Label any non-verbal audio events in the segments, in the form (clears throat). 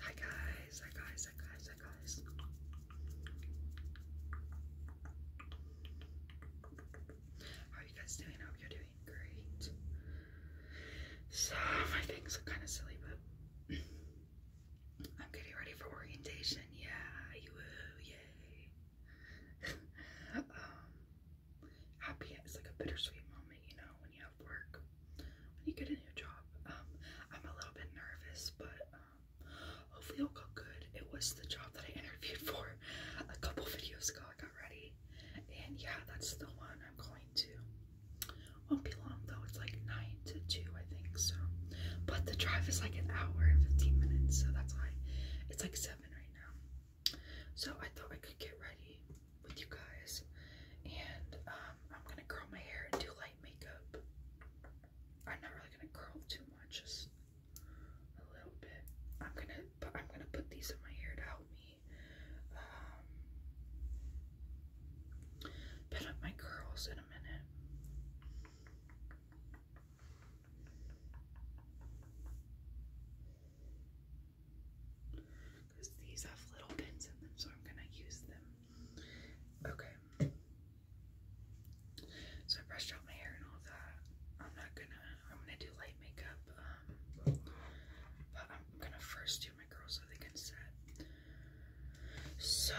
Hi guys, hi guys, hi guys, hi guys. How are you guys doing? I hope you're doing great. So my things look kind of silly, but I'm getting ready for orientation. Yeah, you yay. (laughs) Um, happy. It's like a bittersweet moment, you know, when you have work, when you get a new job. Um, I'm a little bit nervous, but um, hopefully it'll go good. It was the job that I (laughs) interviewed for a couple videos ago. I got ready, and yeah, that's the one I'm going to. Won't be long though. It's like nine to two, I think. So, but the drive is like an hour and fifteen minutes, so that's why it's like seven right now. So I thought I could get ready with you guys. And um, I'm gonna curl my hair and do light makeup. I'm not really gonna curl too much, just a little bit. I'm gonna I'm gonna put these in my hair to help me um, pin up my curls in a minute because these have little pins in them, so I'm gonna use them. Okay. So I brushed out my hair and all that. I'm not gonna. I'm gonna do light makeup, um, but I'm gonna first do my curls so they can set. So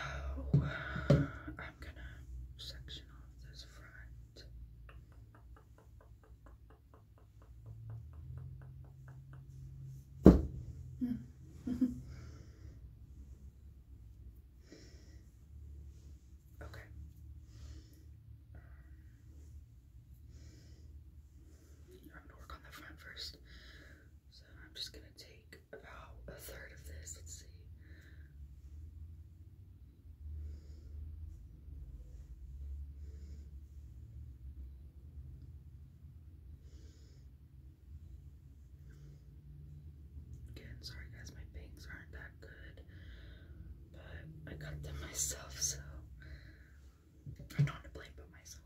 I'm gonna section off this front okay. I'm to work on the front first. So I'm just gonna take about a third of this. Let's see. Again, sorry guys, my bangs aren't that good, but I cut them (laughs) myself, so I'm not to blame but myself.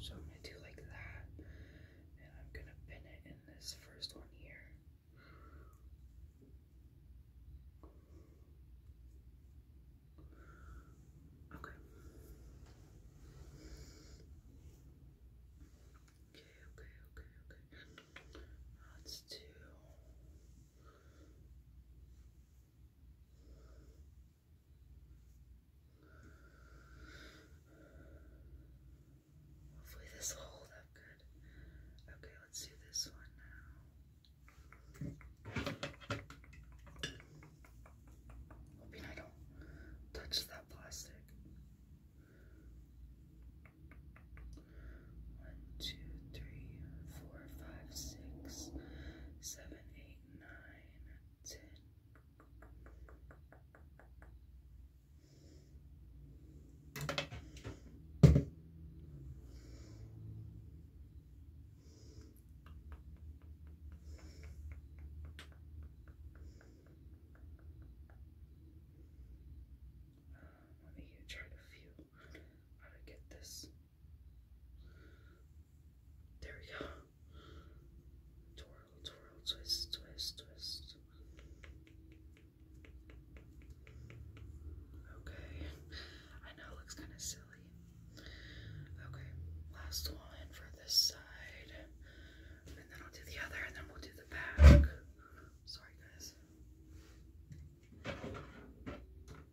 So I'm going to do like that, and I'm going to pin it in this first one here. Okay. Okay, okay, okay, Let's do. Hopefully this will hold up good. Okay, let's do this one now. Hoping I don't touch that plastic. One, two, three, four, five, six, seven, eight eight, nine, ten. Um, let me try to feel how to get this? There we go. Twirl, twirl, twist, twist, twist. Okay. I know it looks kind of silly. Okay, last one for this side. And then I'll do the other, and then we'll do the back. Sorry, guys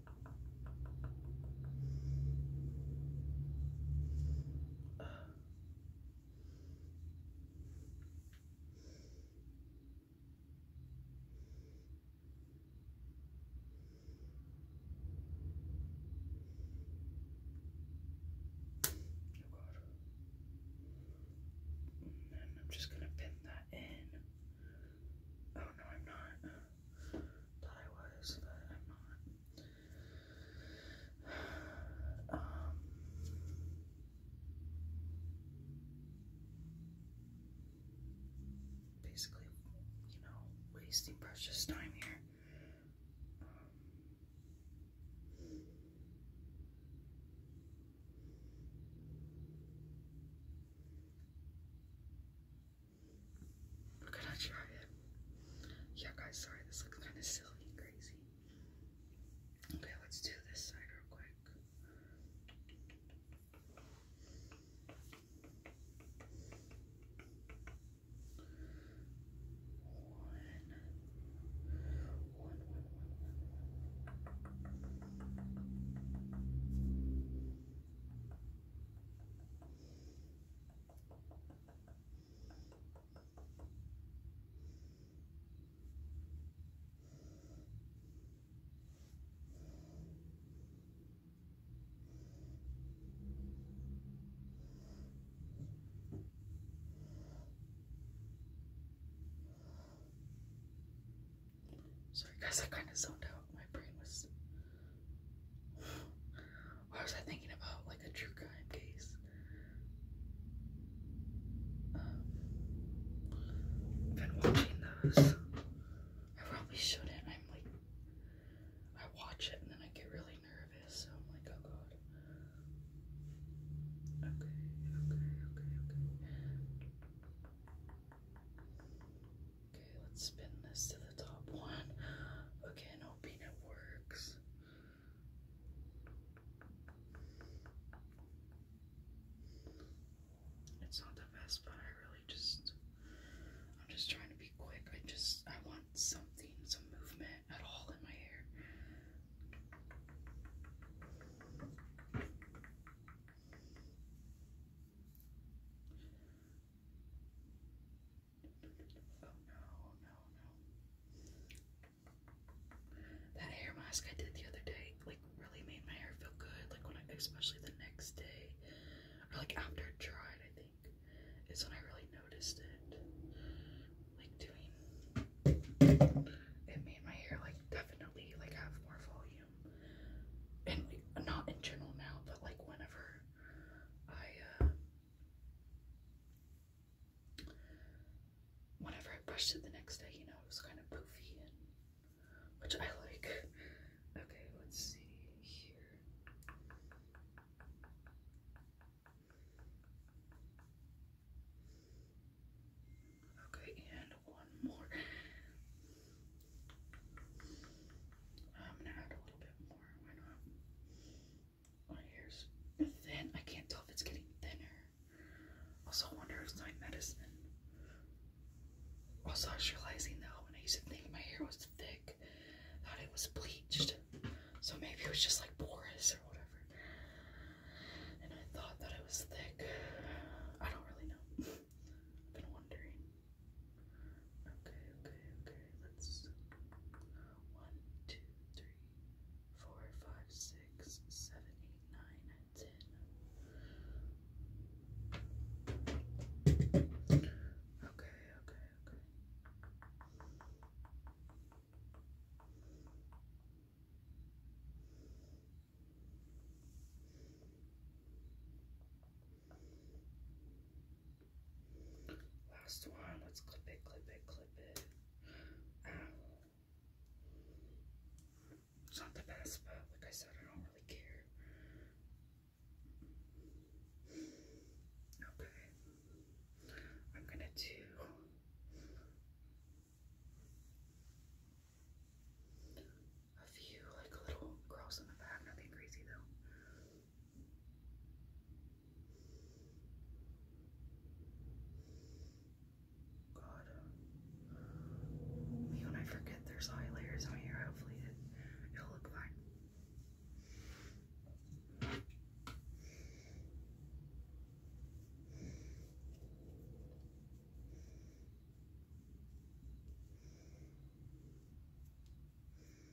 And oh, mm, I'm just gonna pin that in. Oh no, I'm not thought I was, but I'm not. Um, basically, you know, wasting precious time here. We're try it. Yeah, guys, sorry, this looks kind of silly and crazy. Okay, let's do this side real quick. One, one, one, one, one. Sorry guys, I kind of zoned out. My brain was why was I thinking about like a true crime case? Um, been watching those. I probably shouldn't. I'm like, I watch it and then I get really nervous. So I'm like, oh god. Okay, okay, okay, okay. Okay, let's spin this to the top one. Okay, hoping it works. It's not the best, but I really just I'm just trying to be quick. I just I want something, some movement at all in my hair. Oh, that hair mask I did the other day, like, really made my hair feel good. Like, when I, especially the next day, or like after it dried, I think, is when I really noticed it. Like, doing it made my hair, like, definitely, like, have more volume. And, like, not in general now, but like, whenever I, uh, whenever I brushed it the next day, you know, it was kind of poofy, which I like. Okay, let's see here. Okay, and one more. I'm gonna add a little bit more. My hair's oh, thin. I can't tell if it's getting thinner. Also, wonder if it's my medicine. Also, I was realizing though, when I used to think my hair was thick, that it was bleached. So maybe it was just like porous or whatever. And I thought that it was thick. I don't really know. (laughs) been wondering. Okay, okay, okay. Let's uh, one, two, three, four, five, six, seven, eight, nine, ten. Okay, okay, okay. Okay, Last one. Let's clip it, clip it, clip it. Ow. It's not the best, but like I said, I don't really care. Okay. I'm gonna do. A few like little curls in the back, nothing crazy though. God. Even I forget there's eye layers on here. Hopefully it, it'll look fine.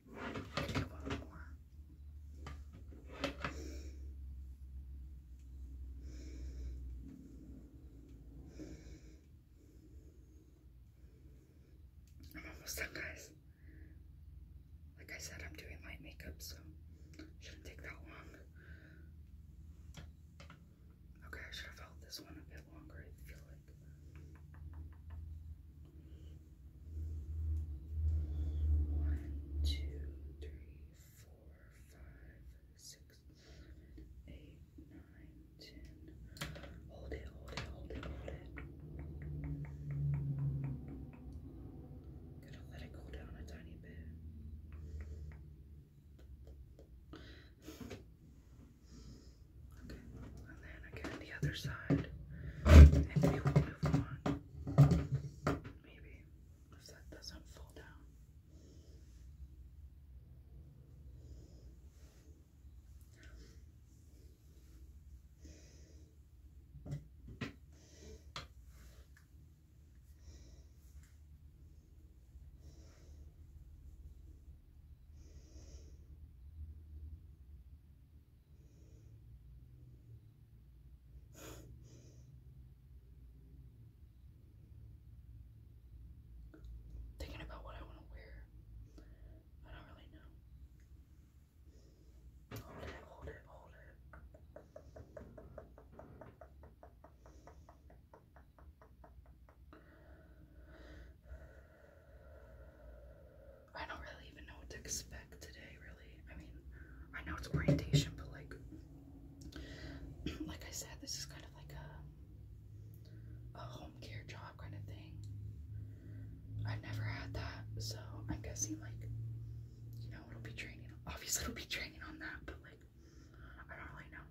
I'm almost done, guys. Like I said, I'm doing light makeup, so shouldn't take that long. Okay, I should have held this one a bit longer, I feel like. One, two, three, four, five, six, seven, eight, nine, ten. Hold it, hold it, hold it, hold it. Gotta let it cool down a tiny bit. Okay, and then again the other side, and we move on. Maybe if that doesn't fall down. Thinking about what I want to wear. I don't really know. Hold it, hold it, hold it. I don't really even know what to expect today, really. I mean, I know it's orientation, but like, (clears throat) like I said, this is kind of like a, a home care job kind of thing. I've never had that, so I'm guessing like, you know, it'll be training. Obviously, it'll be training on that, but like, I don't really know.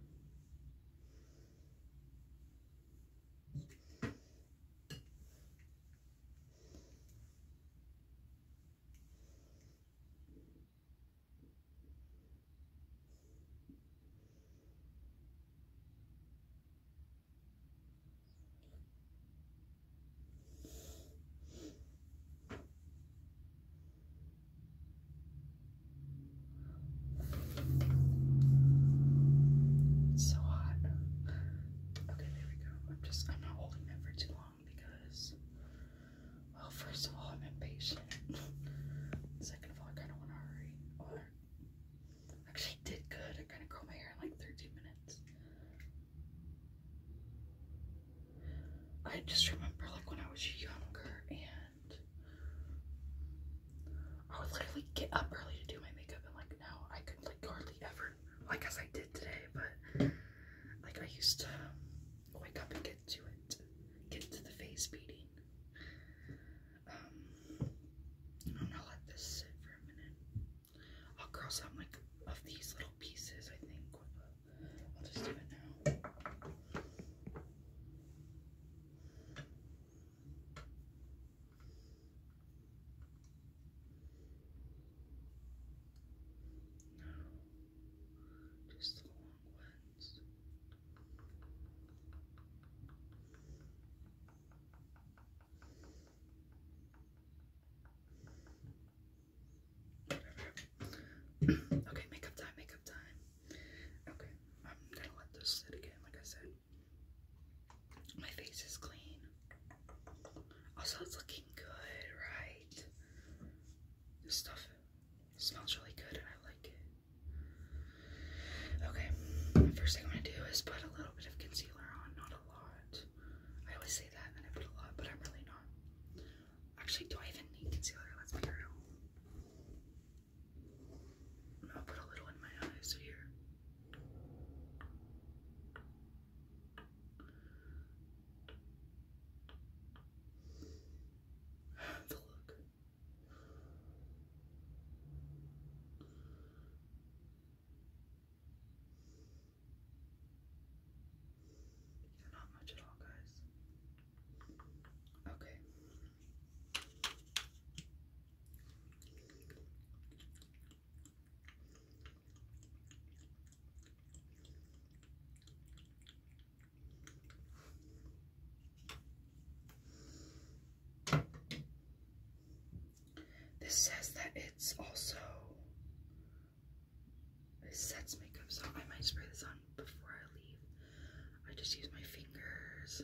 It's so hot. Okay, there we go. I'm just, I'm not holding that for too long because, well, first of all, I'm impatient. (laughs) Second of all, I kind of want to hurry. Or, actually, did good. I kind of curled my hair in like 13 minutes. I just remember, like, when I was younger and I would literally get up early to do my makeup, and like, now I could, like, hardly ever over. Well, I guess I did today, but like I used to wake up and get to it, get to the face beating. Um, I'm gonna let this sit for a minute. I'll cross out like of these little pieces. I think I'll just do it now. No, just okay, makeup time, makeup time. Okay, I'm gonna let this sit again, like I said. My face is clean. Also, it's looking good, right? This stuff smells really good and I like it. Okay, the first thing I'm gonna do is put a little bit of concealer on, not a lot. I always say that and then I put a lot, but I'm really not. Actually, do I even need concealer? Let's be real. I'm put a little in my eyes here the look. not much at all, guys. Okay. This says that it's also sets makeup, so I might spray this on before I leave. I just use my fingers.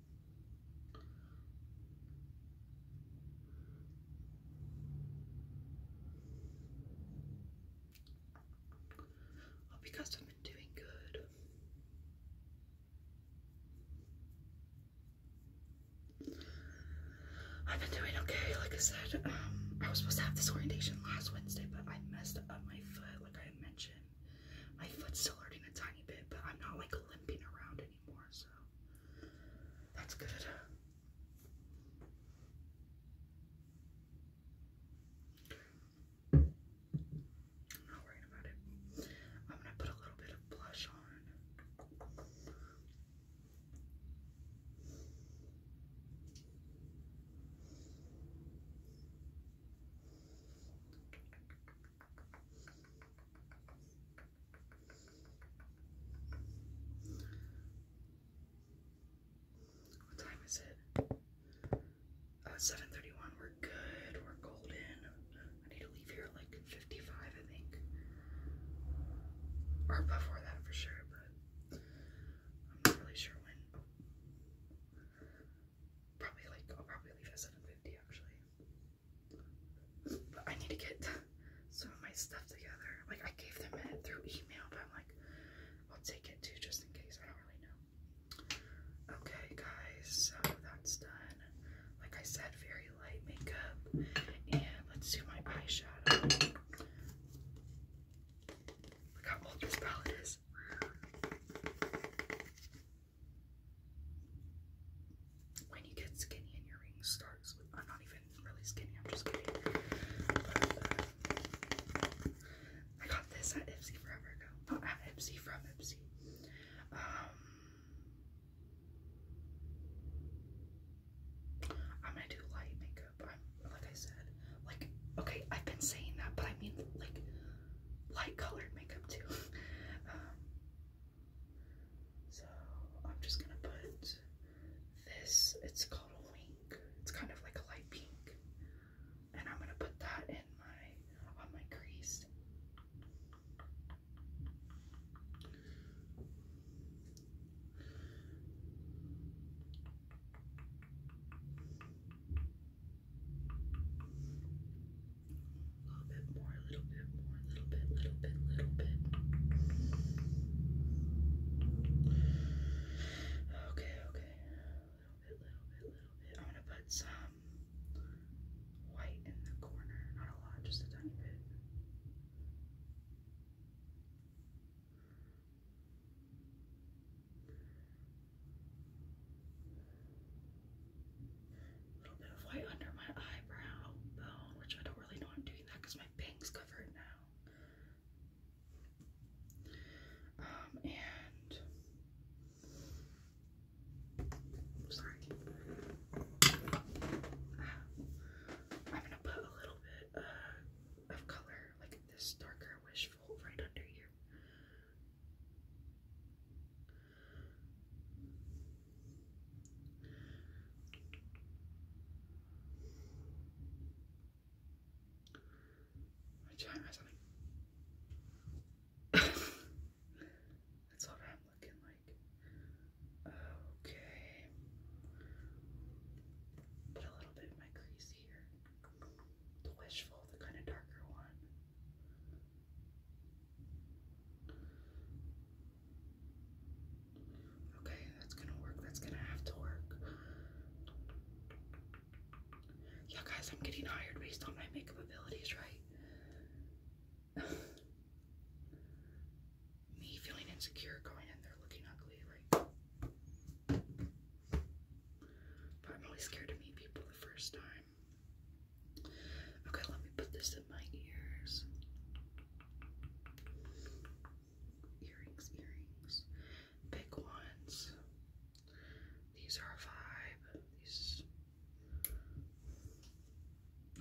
Hope you have been doing good. I've been doing okay. Like I said, um, I was supposed to have this orientation last Wednesday, but I messed up my foot, like I mentioned. My foot's still hurting a tiny bit, but I'm not like limping around that's good. I'm not worried about it. I'm gonna put a little bit of blush on. What time is it? 7:31. Uh, We're good. We're golden. I need to leave here like 55, I think, or before that for sure. But I'm not really sure when. Probably like I'll probably leave at 7:50 actually. I need to get (laughs) some of my stuff together. Like I gave them it through email, but I'm like, I'll take it too just in case. I don't really know. Okay, guys, so that's done. Like I said, very light makeup. And let's do my eyeshadow. Look how old this palette is. When you get skinny and your ring starts with, I'm not even really skinny, I'm just kidding. I got this at Ipsy forever ago. Not at Ipsy, from Ipsy. am um, gonna do light makeup. I'm, like I said, like, okay, I've been saying that, but I mean, like, light colored makeup too. (laughs) Um, so I'm just gonna put this, it's called a wink. It's kind of like a light pink. And I'm gonna put that in my, on my crease. A little bit more, a little bit more, a little bit, little bit, little bit. Okay, okay. A little bit, little bit, little bit. I'm gonna put some white in the corner. Not a lot, just a tiny bit. A little bit of white under my eyebrow bone, which I don't really know I'm doing that because my pink's covered now. Um, and sorry, ah, I'm gonna put a little bit uh, of color, like this darker wishful, right under here, I trying something. That's what I'm looking like. Okay. Put a little bit of my crease here. The wishful, the kind of darker one. Okay, that's gonna work. That's gonna have to work. Yeah, guys, I'm getting hired based on my makeup abilities, right? (laughs) Me feeling insecure going in there looking ugly, right? But I'm always scared to meet people the first time. Okay, let me put this in my ears. Earrings, earrings. Big ones. These are a vibe. These.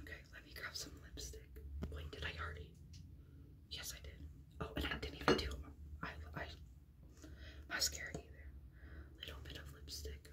Okay, let me grab some lipstick. Wait, did I already? Yes, I did. Oh, and I didn't even do I, I mascara either. Little bit of lipstick.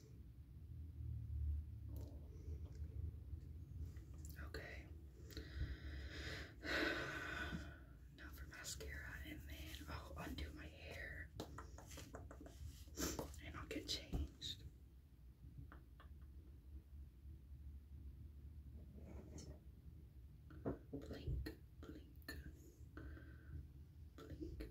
Okay. (sighs) Now for mascara and then I'll oh, undo my hair and I'll get changed. Blink, blink, blink, blink, blink,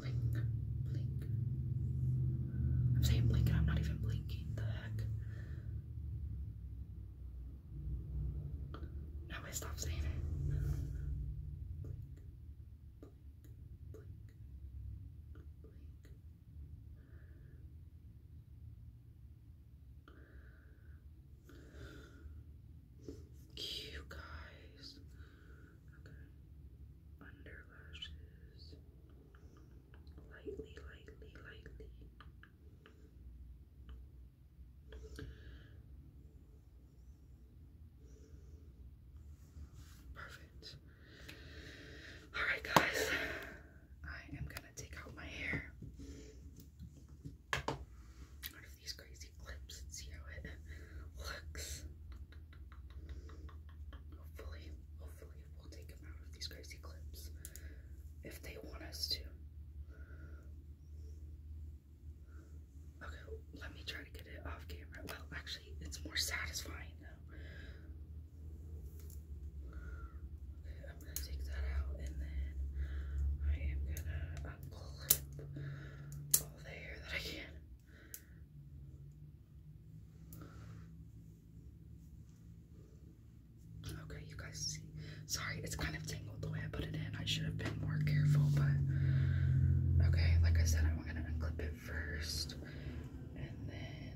blink, blink. I'm saying blink and I'm not even blinking. The heck? Now I stop saying it. You guys, Okay. Under lashes. Lightly, lightly, lightly. Perfect. Alright, guys, I am gonna take out my hair out of these crazy clips see how it (laughs) looks. Hopefully, hopefully we'll take them out of these crazy clips if they want us to. Okay, let me try to get it off camera. Well, actually, it's more satisfying though. Okay, I'm gonna take that out and then I am gonna unclip all the hair that I can. Okay, you guys see. Sorry, it's kind of tangled the way I put it in. I should have been more careful, but okay, like I said, I'm gonna unclip it first and then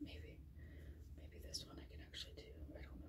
maybe maybe this one I can actually do. I don't know.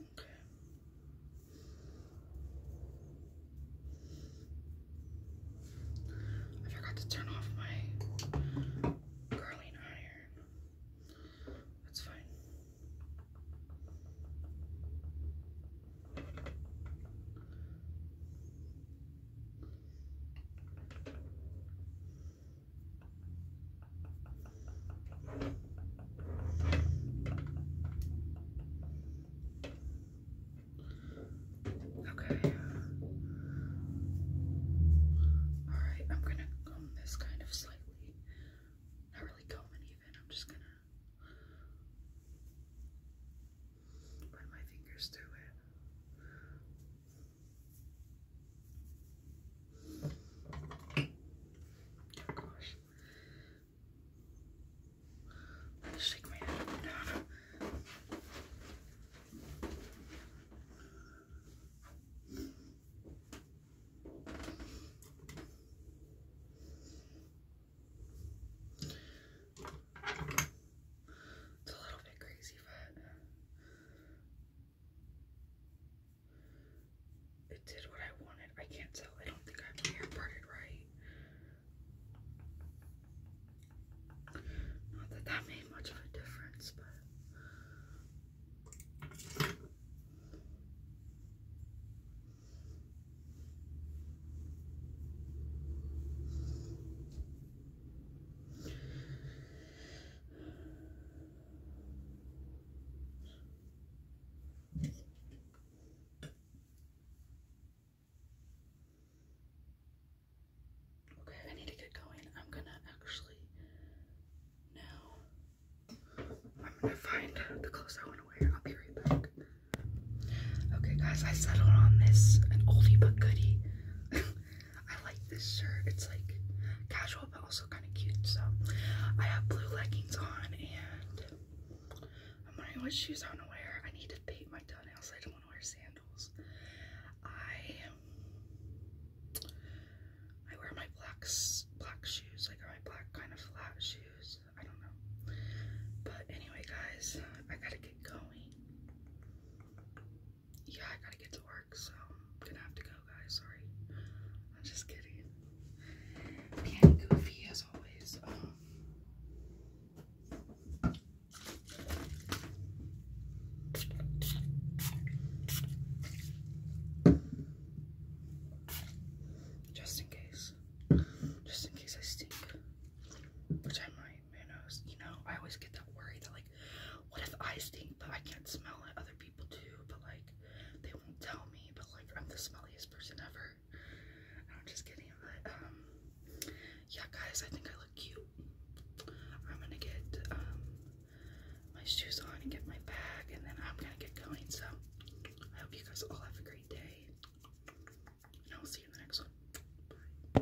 Okay. I forgot to turn off my curling iron. That's fine. Okay. All right, I'm gonna comb this kind of slightly, not really combing even. I'm just gonna run my fingers through it. Oh gosh. I'll shake my head down. It's a little bit crazy, but it did what I wanted. I can't tell. I don't think I'm hair parted right. Not that that made much of a difference, but. Okay, I need to get going. I'm gonna actually now I'm gonna find the clothes I want to wear. I'll be right back. Okay guys, I settled on this an oldie but goodie. (laughs) I like this shirt. It's like casual but also kind of cute. So I have blue leggings on and I'm wondering what shoes I want to wear. I need to paint my toenails. I don't want to wear sandals. I I wear my black black shoes. Like my black kind of flat shoes. I don't know. But anyway, guys, I gotta get going yeah, I gotta get to work, so I'm gonna have to go, guys. Sorry. I'm just kidding. Being goofy as always. Um, just in case. Just in case I stink. Which I might. You know, I always get that worry that like, what if I stink but I can't smell it? Other people do, but like, they won't tell me. But like, I'm the smelliest person ever. I'm just kidding. But um, yeah, guys, I think I look cute. I'm gonna get um my shoes on and get my bag, and then I'm gonna get going. So I hope you guys all have a great day, and I'll see you in the next one. Bye.